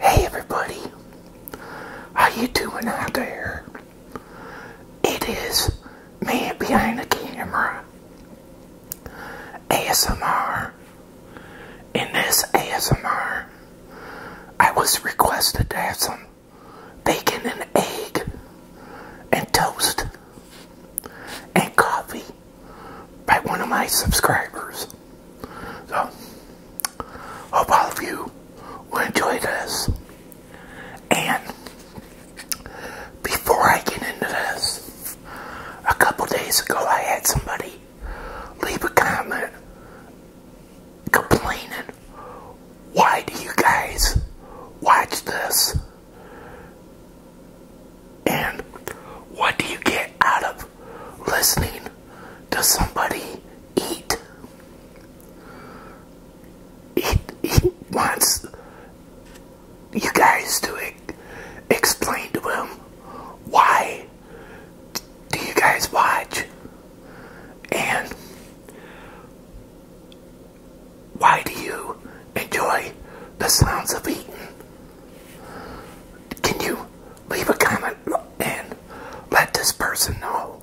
Hey everybody, how you doing out there? It is me behind the camera, ASMR. In this ASMR, I was requested to have some bacon and egg and toast and coffee by one of my subscribers. So, hope all of you will enjoy this. And before I get into this, a couple days ago I had somebody leave a comment complaining, why do you guys watch this? And what do you get out of listening to somebody eat? He, he wants you guys to e explain to him why do you guys watch and why do you enjoy the sounds of eating can you leave a comment and let this person know?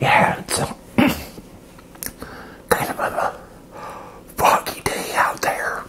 Yeah, it's a, kind of a foggy day out there.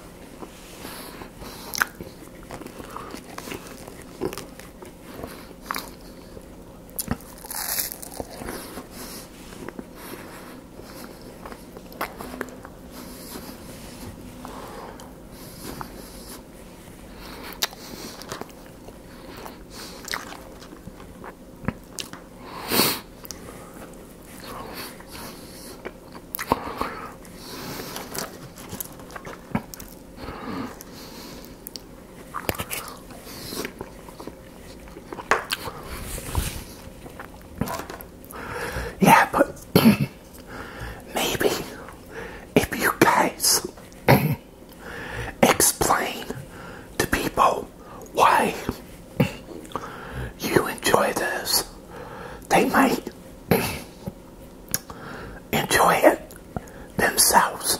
Yeah, but maybe if you guys explain to people why you enjoy this. They might enjoy it themselves.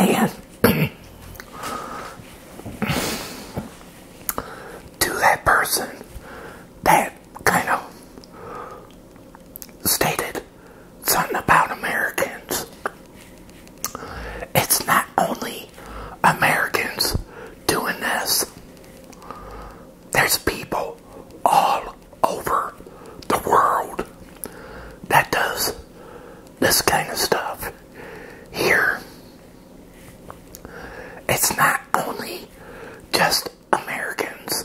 And to that person that kind of stated something about Americans, it's not only Americans doing this, there's people all over the world that does this kind of stuff here. It's not only just Americans.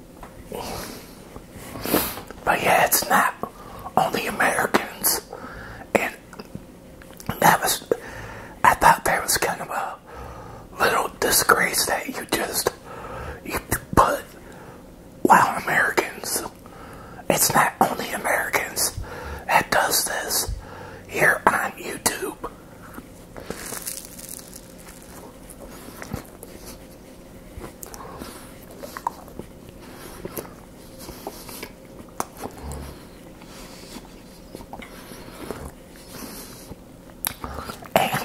But yeah, it's not only Americans. And that was, I thought that was kind of a little disgrace that you just, you put, wow, Americans. It's not only Americans that does this here on YouTube. And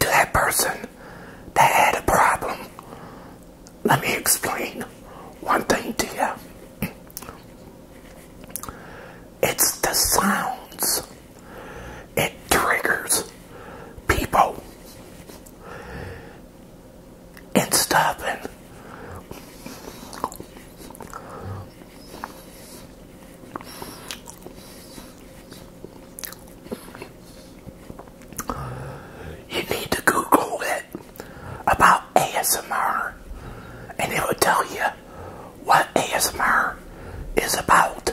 to that person that had a problem, let me explain one thing to you. It's the sounds. It triggers people It's stopping. you need to Google it about ASMR and it will tell you what ASMR is about.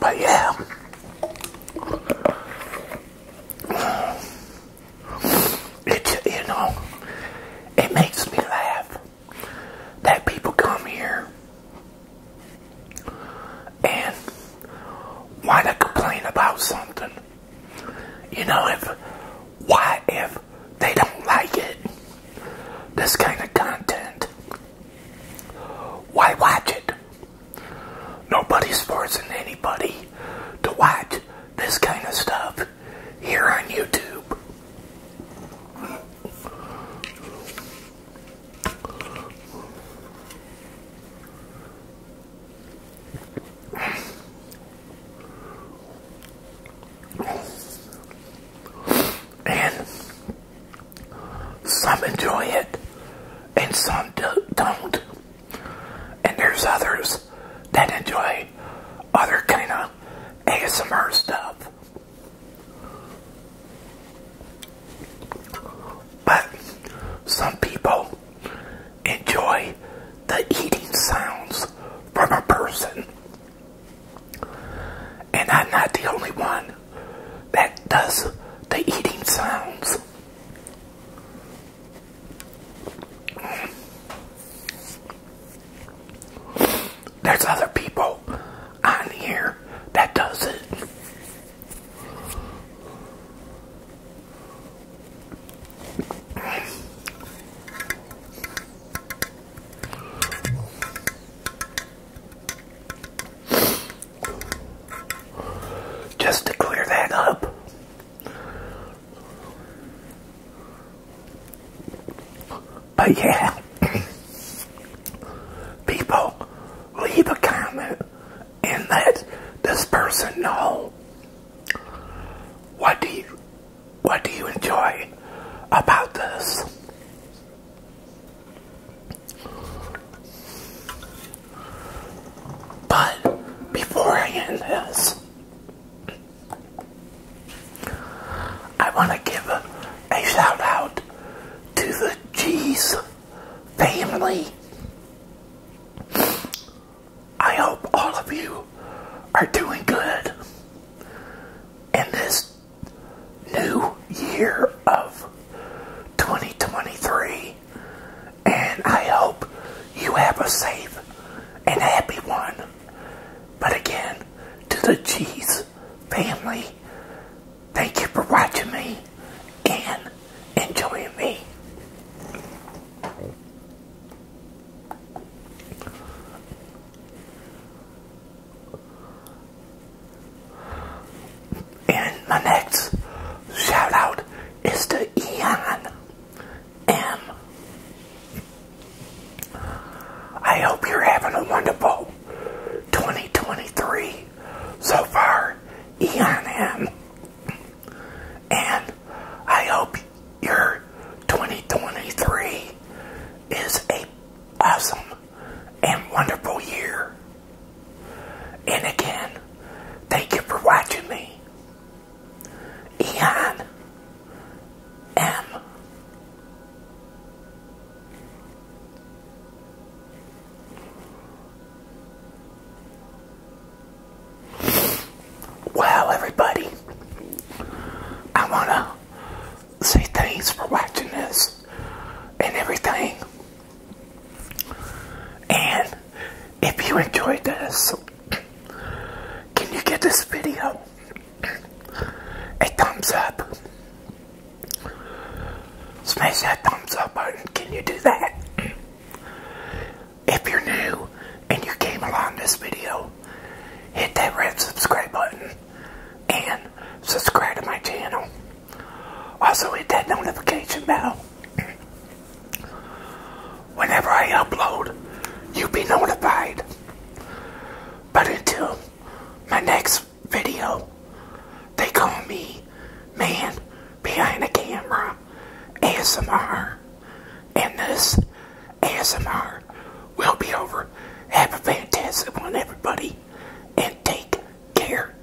But yeah. you know, it makes me laugh that people come here and why to complain about something. You know, if why if they don't like it, this kind of content, why watch it? Nobody's forcing anybody to watch this kind of stuff here on YouTube. And some enjoy it and some do don't. And there's others those that enjoy other kind of ASMR stuff. But some people enjoy the eating sounds from a person. And I'm not the only one that does the eating sounds. There's other people on here that does it. Just to clear that up, but yeah, people leave a comment and let this person know what do you what do you enjoy about this. But before I end this, I want to give a, shout out to the G's family. I hope all of you are doing good in this new year of 2023, and I hope you have a safe and a happy one. But again, to the Cheese family, thank you for watching me and enjoying me. And my next shout out is to Eon. And I hope you're having a wonderful 2023 so far, Eon M. And I hope your 2023 is a awesome and wonderful year. And again, thank you for watching me. Eon M. Well, everybody, I want to say thanks for watching this and everything. And if you enjoyed this, can you get this video a thumbs up? Smash that thumbs up button. Can you do that? If you're new and you came along this video, hit that red subscribe button and subscribe to my channel. Also hit that notification bell whenever I upload, you'll be notified. But until my next video, they call me Man Behind the Camera ASMR. And this ASMR will be over. Have a fantastic one, everybody, and take care.